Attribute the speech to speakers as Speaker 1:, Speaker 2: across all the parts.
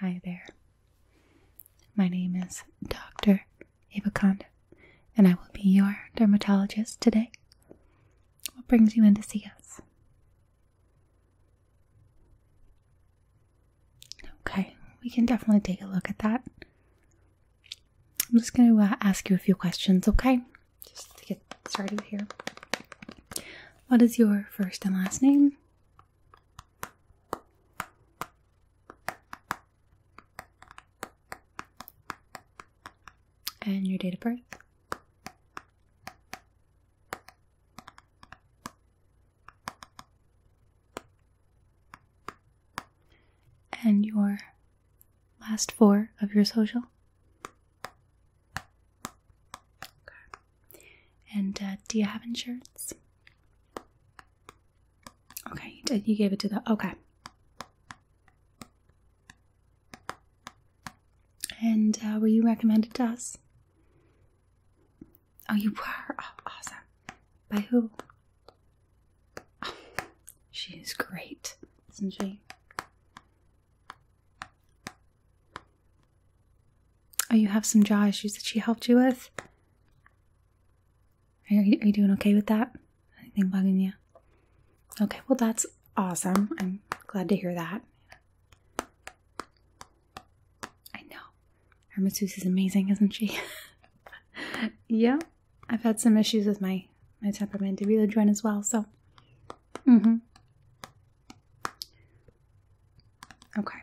Speaker 1: Hi there. My name is Dr. Evaconda, and I will be your dermatologist today. What brings you in to see us? Okay, we can definitely take a look at that. I'm just going to uh, ask you a few questions, okay? Just to get started here. What is your first and last name? And your date of birth. And your last four of your social. And uh, do you have insurance? Okay, you gave it to the okay. And uh, were you recommended to us? Oh, you were. Oh, awesome. By who? Oh, she is great, isn't she? Oh, you have some jaw issues that she helped you with? Are you, doing okay with that? Anything bugging you? Okay, well, that's awesome. I'm glad to hear that. I know. Our masseuse is amazing, isn't she? yeah, I've had some issues with my, my temperament to really join as well, so. Mm hmm. Okay.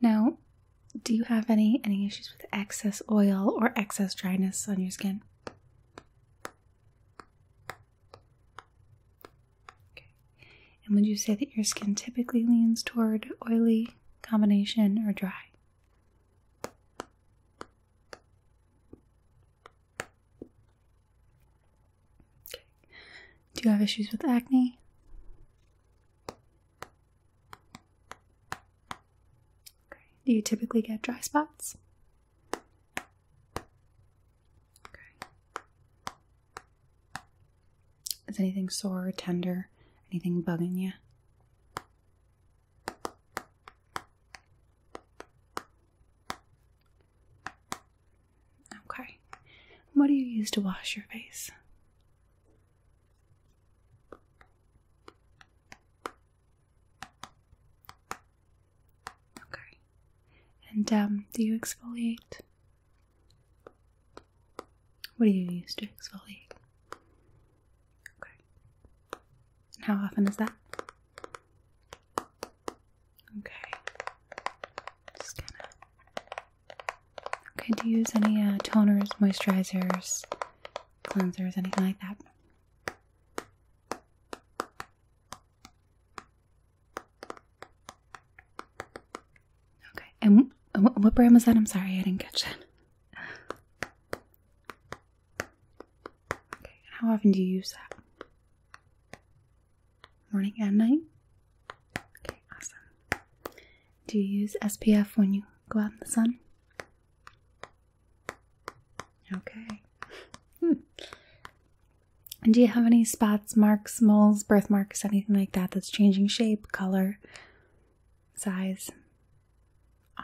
Speaker 1: Now, do you have any any issues with excess oil or excess dryness on your skin? And would you say that your skin typically leans toward oily combination or dry? Do you have issues with acne? Do you typically get dry spots? Is anything sore or tender? Anything bugging you? Okay. What do you use to wash your face? Okay. And um, do you exfoliate? What do you use to exfoliate? Okay. And how often is that? Okay. Just gonna. Okay, do you use any uh, toners, moisturizers, cleansers, anything like that? Okay, and what brand was that? I'm sorry, I didn't catch that. Okay, how often do you use that? Morning and night? Okay, awesome. Do you use SPF when you go out in the sun? Okay. do you have any spots, marks, moles, birthmarks, anything like that that's changing shape, color, size?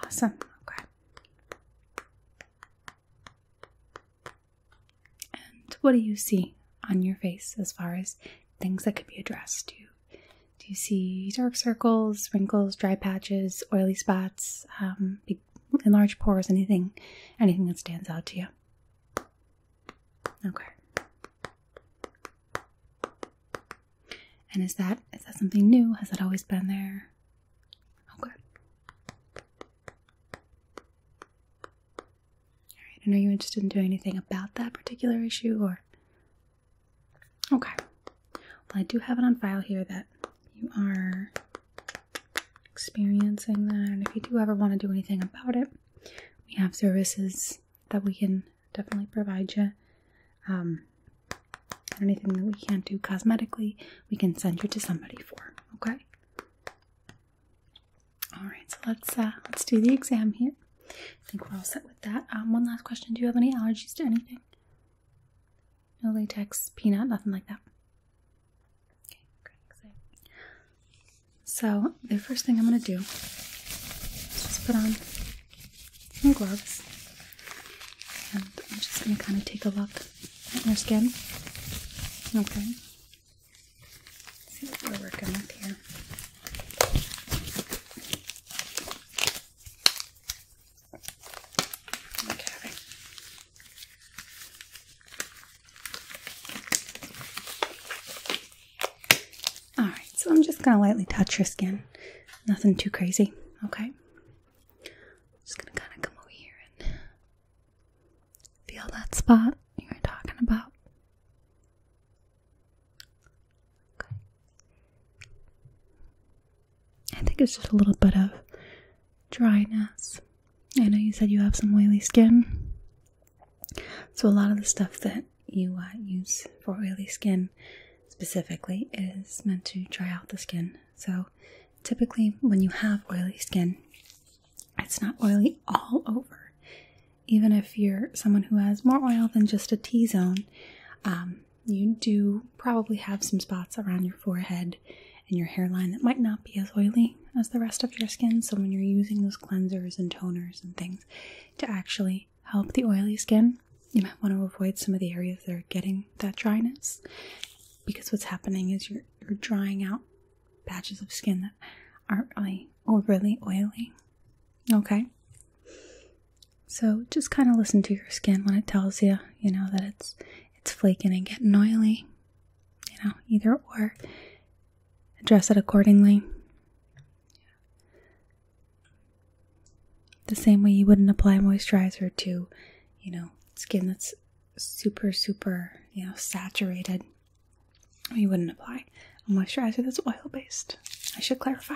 Speaker 1: Awesome. Okay. And what do you see on your face as far as things that could be addressed? Do you, do you see dark circles, wrinkles, dry patches, oily spots, um, enlarged pores, anything, anything that stands out to you? Okay. And is that is that something new? Has that always been there? Okay. Alright, and are you interested in doing anything about that particular issue or? Okay. Well, I do have it on file here that you are experiencing that, and if you do ever want to do anything about it, we have services that we can definitely provide you. Um, anything that we can't do cosmetically, we can send you to somebody for. Okay. All right, so let's uh, let's do the exam here. I think we're all set with that. Um, one last question: Do you have any allergies to anything? No latex, peanut, nothing like that. Okay, great. So the first thing I'm gonna do is just put on some gloves, and I'm just gonna kind of take a look at your skin. Okay see what we're working with here. Okay. All right, so I'm just going to lightly touch your skin. Nothing too crazy, okay? Just going to kind of come over here Feel that spot you were talking about. Okay. I think it's just a little bit of dryness. I know you said you have some oily skin. So, a lot of the stuff that you uh, use for oily skin specifically is meant to dry out the skin. So, typically, when you have oily skin, it's not oily all over. Even if you're someone who has more oil than just a T zone, um, you do probably have some spots around your forehead and your hairline that might not be as oily as the rest of your skin. So, when you're using those cleansers and toners and things to actually help the oily skin, you might want to avoid some of the areas that are getting that dryness because what's happening is you're, you're drying out patches of skin that aren't really overly oily. Okay? So just kind of listen to your skin when it tells you, you know, that it's it's flaking and getting oily. You know, either or address it accordingly. The same way you wouldn't apply moisturizer to, you know, skin that's super super, you know, saturated you wouldn't apply a moisturizer that's oil based. I should clarify.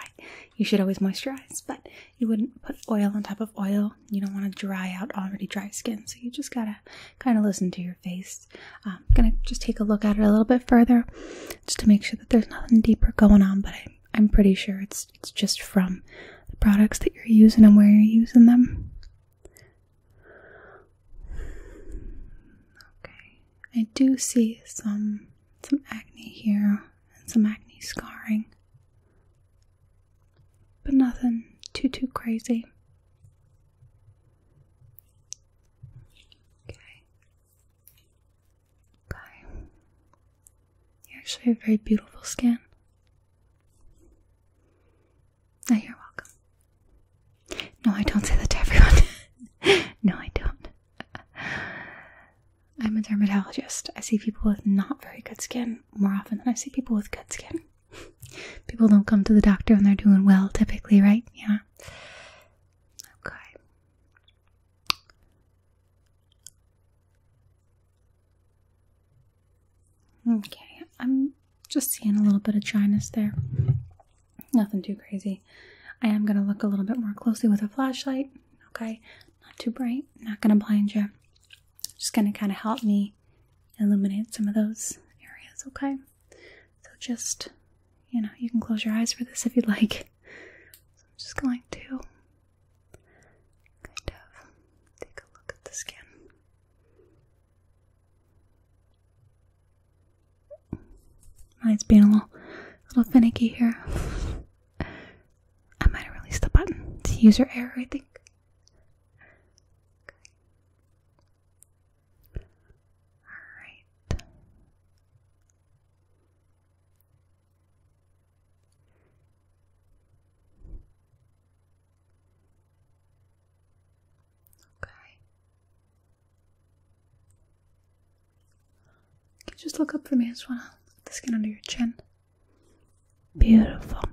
Speaker 1: You should always moisturize, but you wouldn't put oil on top of oil. You don't want to dry out already dry skin, so you just gotta kind of listen to your face. I'm um, gonna just take a look at it a little bit further, just to make sure that there's nothing deeper going on. But I'm, I'm pretty sure it's it's just from the products that you're using and where you're using them. Okay, I do see some some acne here and some acne scarring, but nothing too too crazy. Okay, okay, you actually have very beautiful skin. No, you're welcome. No, I don't say that to everyone. no, I don't. I'm a dermatologist. I see people with not very good skin more often than I see people with good skin. People don't come to the doctor when they're doing well, typically, right? Yeah. Okay. Okay, I'm just seeing a little bit of dryness there. Nothing too crazy. I am going to look a little bit more closely with a flashlight. Okay, not too bright, not going to blind you. Just going to kind of help me illuminate some of those areas, okay? So just, you know, you can close your eyes for this if you'd like. I'm just going to kind of take a look at the skin. Mine's being a little, little finicky here. I might have the button. It's user error, I think. All right. Okay. Can you just look up for me? I just wanna look the skin under your chin. Beautiful. Okay.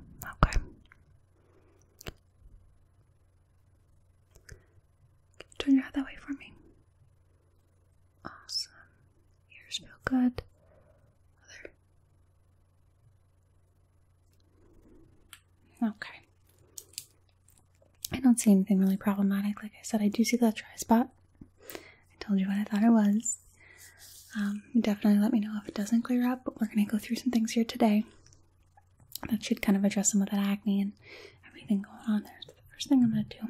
Speaker 1: turn your head that way for me? Awesome. Ears feel good. Other Okay. I don't see anything really problematic. Like I said, I do see that dry spot. I told you what I thought it was. Um, definitely let me know if it doesn't clear up, but we're going to go through some things here today that should kind of address some of that acne and everything going on there. the first thing I'm going to do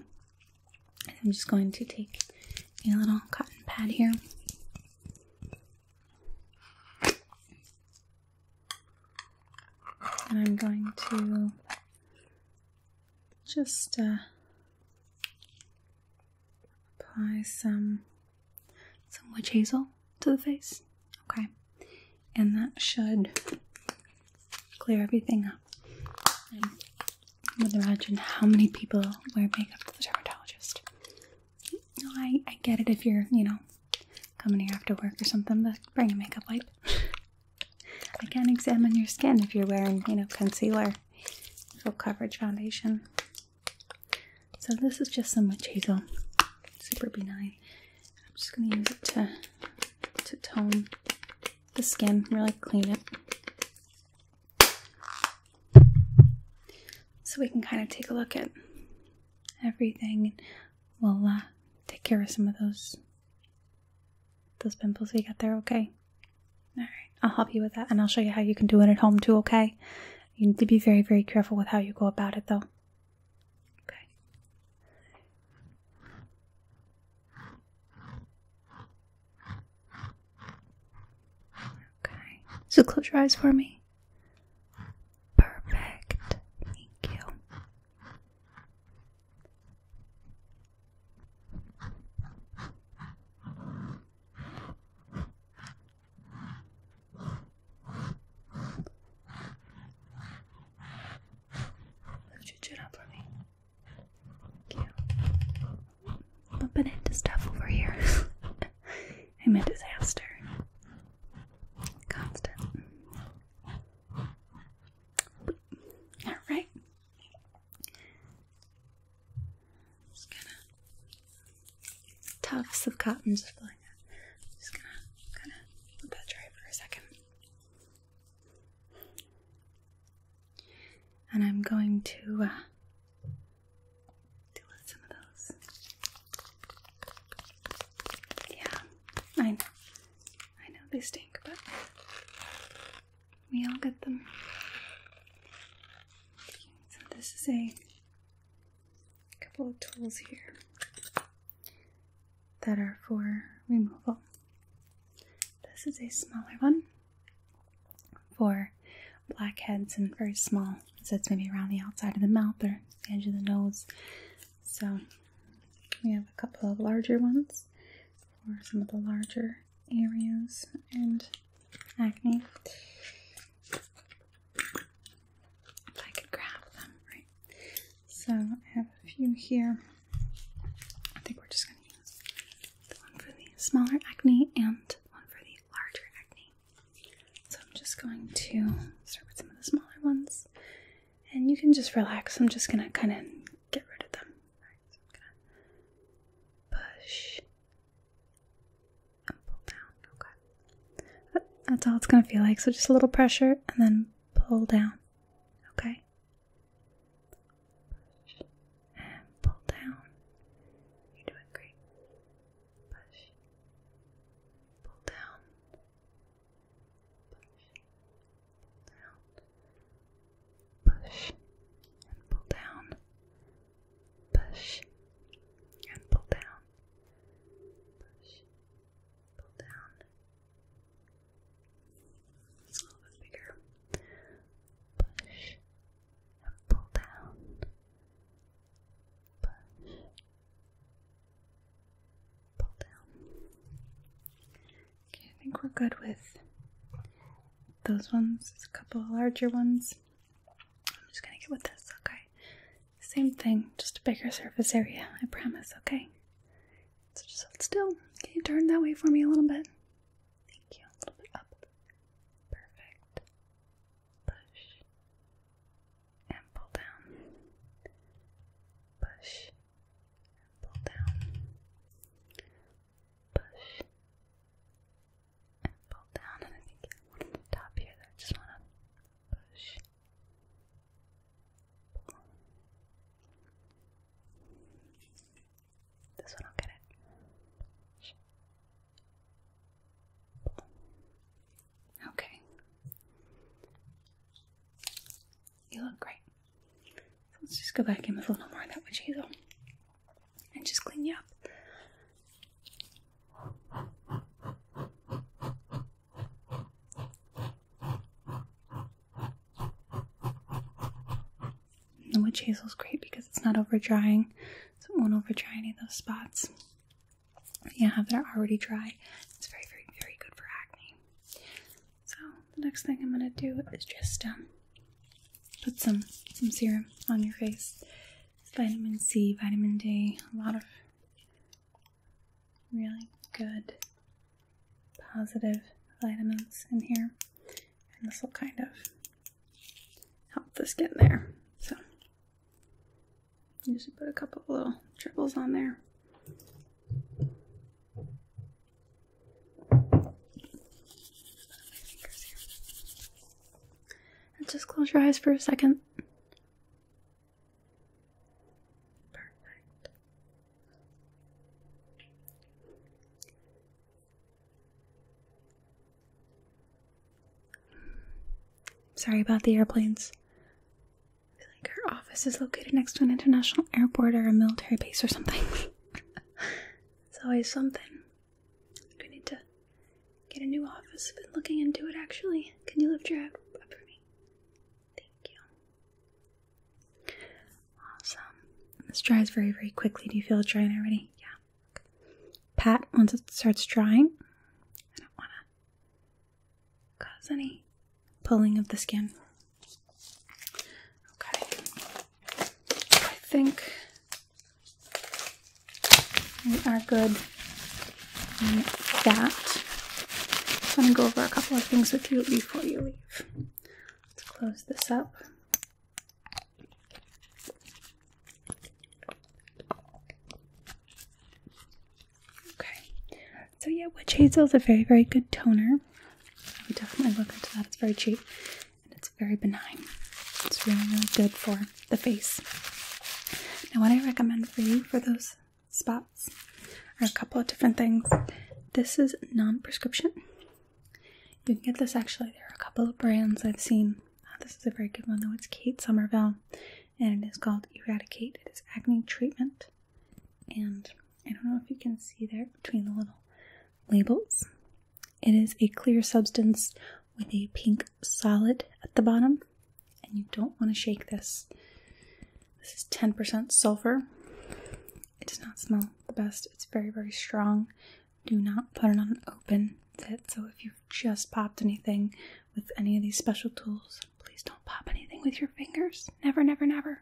Speaker 1: I'm just going to take a little cotton pad here and I'm going to just uh, apply some some witch hazel to the face. Okay, and that should clear everything up. I would imagine how many people wear makeup to the dermatologist. No, I, I get it if you're, you know, coming here after work or something, but bring a makeup wipe. I can not examine your skin if you're wearing, you know, concealer, full coverage foundation. So this is just some witch hazel, super benign. I'm just gonna use it to to tone the skin, really clean it. So we can kind of take a look at everything. We'll take care of some of those those pimples we got there, okay? All right, I'll help you with that, and I'll show you how you can do it at home too, okay? You need to be very, very careful with how you go about it, though. Okay. Okay. So close your eyes for me. Perfect. Thank you. Lift your chin up for me. Thank you. Bumping into stuff over here. I'm a disaster. Constant. All right. Just gonna tufts of cotton just feeling that. just gonna kind of let that dry for a second. And I'm going to uh, do with some of those. Yeah, I know. I know they stink, but we all get them. this is a couple of tools here that are for removal. This is a smaller one for are blackheads and very small. So it's maybe around the outside of the mouth or the edge of the nose. So we have a couple of larger ones for some of the larger areas and acne. If I could grab them, right? So I have a few here. I think we're just going to use the one for the smaller acne and one for the larger acne. So I'm just going to start with some of the smaller ones. And you can just relax. I'm just going to kind of get rid of them. Alright, so I'm going to push and pull down. Okay. Oh, that's all it's going to feel like. So just a little pressure and then pull down. Okay. Push and pull down. You're doing great push, pull down, push, pull down, push and pull down, push and pull down, push, pull down. It's a little bit bigger. Push, pull down, pull down. Okay, I think we're good with those ones. There's a couple larger ones. I'm just gonna get with this, okay? Same thing, just a bigger surface area, I promise, okay? So just hold still. Can you turn that way for me a little bit? Thank you. A little bit up. Perfect push, and pull down, push, and pull down, push, and pull down. And I think there's the top here I just want to push, This one i get it. Okay. You look great. let's just go back in with a little more of that witch hazel and just clean you up. The witch is great because it's not over drying. So it won't over dry any of those spots. Yeah, that are already dry, it's very, very, very good for acne. So the next thing I'm gonna do is just um, put some some serum on your face. vitamin C, vitamin D, a lot of really good positive vitamins in here. And this will kind of help the skin there. So Usually put a couple little tribbles on there. And just close your eyes for a second. Perfect. Sorry about the airplanes. I feel like her office is located next to an international airport or a military base or something. it's always something. We need to get a new office. I've been looking into it actually. Can you lift your head up for me? Thank you. Awesome. This dries very, very quickly. Do you feel it drying already? Yeah pat once it starts drying. I don't want to cause any pulling of the skin. Okay. I think we are good on that. I'm going to go over a couple of things with you before you leave. Let's close this up. Okay, so yeah, witch hazel is a very, very good toner. We definitely look into that. It's very cheap and it's very benign. It's really, really good for the face. Now, what I recommend for you for those spots are a couple of different things. This is non prescription. You can get this actually. There are a couple of brands I've seen Ah, this is a very good one, though. It's Kate Somerville, and it is called Eradicate. It is acne treatment. And I don't know if you can see there between the little labels. It is a clear substance with a pink solid at the bottom, and you don't want to shake this. This is 10% sulfur. It does not smell the best. It's very, very strong do not put it on an open tip. So if you've just popped anything with any of these special tools, please don't pop anything with your fingers. Never, never, never.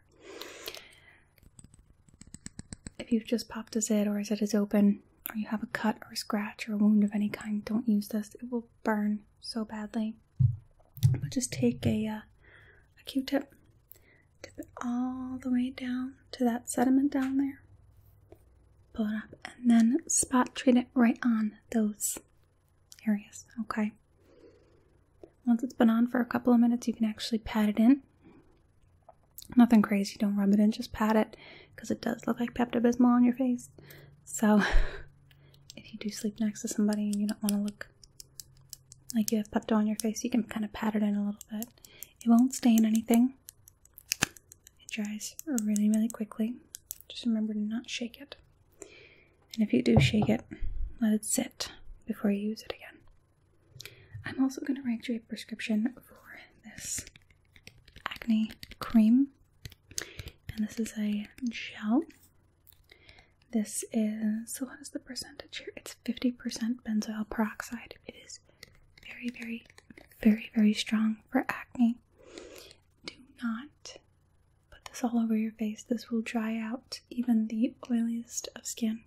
Speaker 1: If you've just popped a zit or a zit is open, or you have a cut or a scratch or a wound of any kind, don't use this. It will burn so badly. But just take a, uh, a Q-tip, dip it all the way down to that sediment down there pull it up, and then spot treat it right on those areas. Okay. Once it's been on for a couple of minutes, you can actually pat it in. Nothing crazy, don't rub it in, just pat it because it does look like Pepto Bismol on your face. So, if you do sleep next to somebody and you don't want to look like you have Pepto on your face, you can kind of pat it in a little bit. It won't stain anything, it dries really, really quickly. Just remember to not shake it. And if you do shake it, let it sit before you use it again. I'm also going to write you a prescription for this acne cream. And this is a gel. This is, so what is the percentage here? It's 50% benzoyl peroxide. It is very, very, very, very strong for acne. Do not put this all over your face. This will dry out even the oiliest of skin.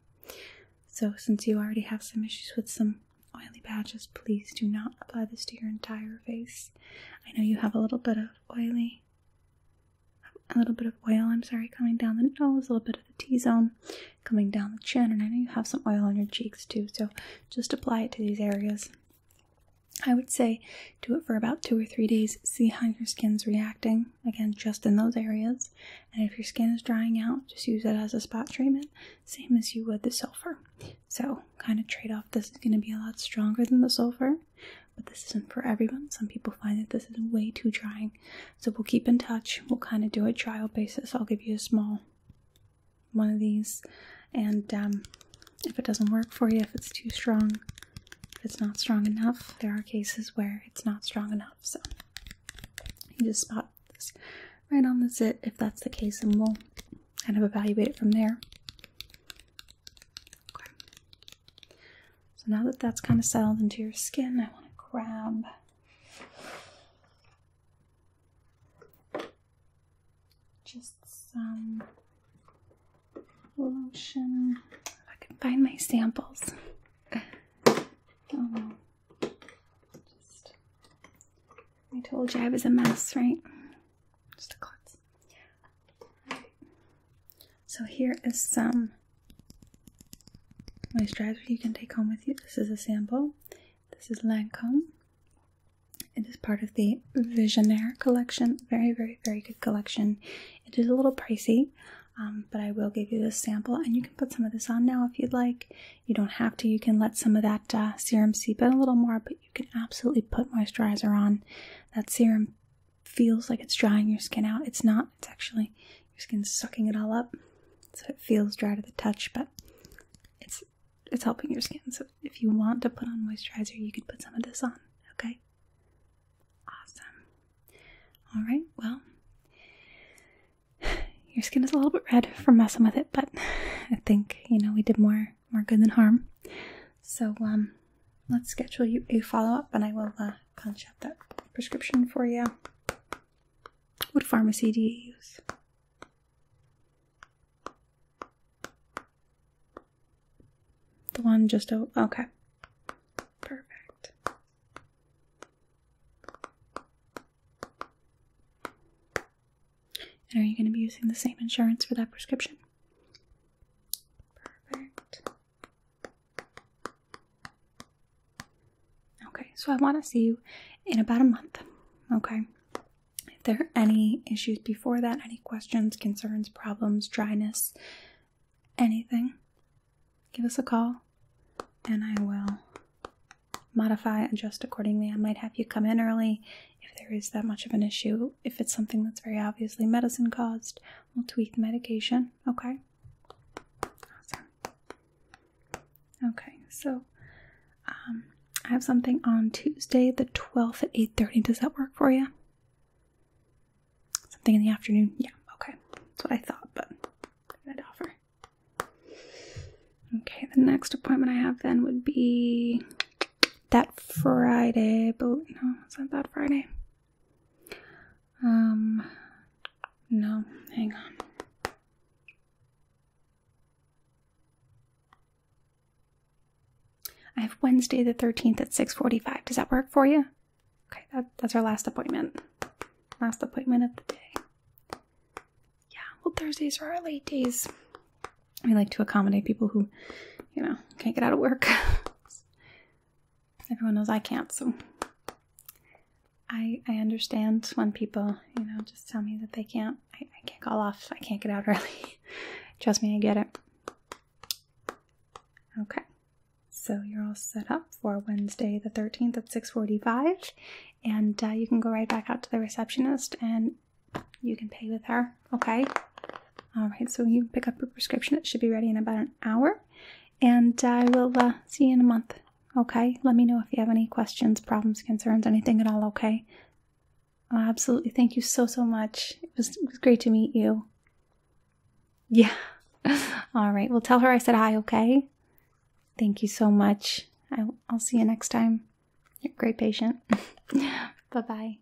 Speaker 1: So, since you already have some issues with some oily patches, please do not apply this to your entire face. I know you have a little bit of oily, a little bit of oil, I'm sorry, coming down the nose, a little bit of the T zone coming down the chin, and I know you have some oil on your cheeks too. So, just apply it to these areas. I would say do it for about two or three days, see how your skin's reacting, again, just in those areas. And if your skin is drying out, just use it as a spot treatment, same as you would the sulfur. So, kind of trade off, this is going to be a lot stronger than the sulfur, but this isn't for everyone. Some people find that this is way too drying. So, we'll keep in touch, we'll kind of do a trial basis. I'll give you a small one of these and um, if it doesn't work for you if it's too strong if it's not strong enough there are cases where it's not strong enough so you just spot this right on the sit if that's the case and we'll kind of evaluate it from there so now that that's kind of settled into your skin i want to grab just some lotion. If I can find my samples. Oh, just I told you I was a mess, right? Just a klutz. Right. So here is some moisturizer you can take home with you. This is a sample. This is Lancome. It is part of the Visionaire collection. Very, very, very good collection. It is a little pricey, um, but I will give you this sample, and you can put some of this on now if you'd like. You don't have to. You can let some of that uh, serum seep in a little more, but you can absolutely put moisturizer on. That serum feels like it's drying your skin out. It's not. It's actually your skin's sucking it all up so it feels dry to the touch, but it's it's helping your skin. So if you want to put on moisturizer, you could put some of this on. Okay. Awesome. All right. Well, your skin is a little bit red from messing with it, but I think you know we did more more good than harm. So um, let's schedule you a follow up, and I will uh, punch up that prescription for you. What pharmacy do you use? The one just Okay. Perfect. And are you going to be using the same insurance for that prescription? Perfect. Okay, so I want to see you in about a month. Okay. If there are any issues before that, any questions, concerns, problems, dryness, anything, give us a call and I will modify, adjust accordingly. I might have you come in early if there is that much of an issue. If it's something that's very obviously medicine caused, we'll tweak the medication. Okay? Okay, so um, I have something on Tuesday the 12th at 8.30. Does that work for you? Something in the afternoon? Yeah, okay. That's what I thought, but I'd offer. Okay, the next appointment I have then would be that Friday, but no, it's not that Friday. Um, no, hang on. I have Wednesday the 13th at 6:45. Does that work for you? Okay, that's our last appointment. Last appointment of the day. Yeah, well Thursdays are our late days. We like to accommodate people who, you know, can't get out of work. Everyone knows I can't, so I I understand when people, you know, just tell me that they can't I, can't call off. I can't get out early. Trust me, I get it. Okay. So you're all set up for Wednesday the 13th at 6:45 and uh, you can go right back out to the receptionist and you can pay with her, okay? All right. So you pick up your prescription. It should be ready in about an hour. And uh, I will uh, see you in a month. Okay, let me know if you have any questions, problems, concerns, anything at all. Okay, uh, absolutely. Thank you so so much. It was, great to meet you. Yeah. all right. Well, tell her I said hi. Okay. Thank you so much. I, will see you next time. great patient. bye bye.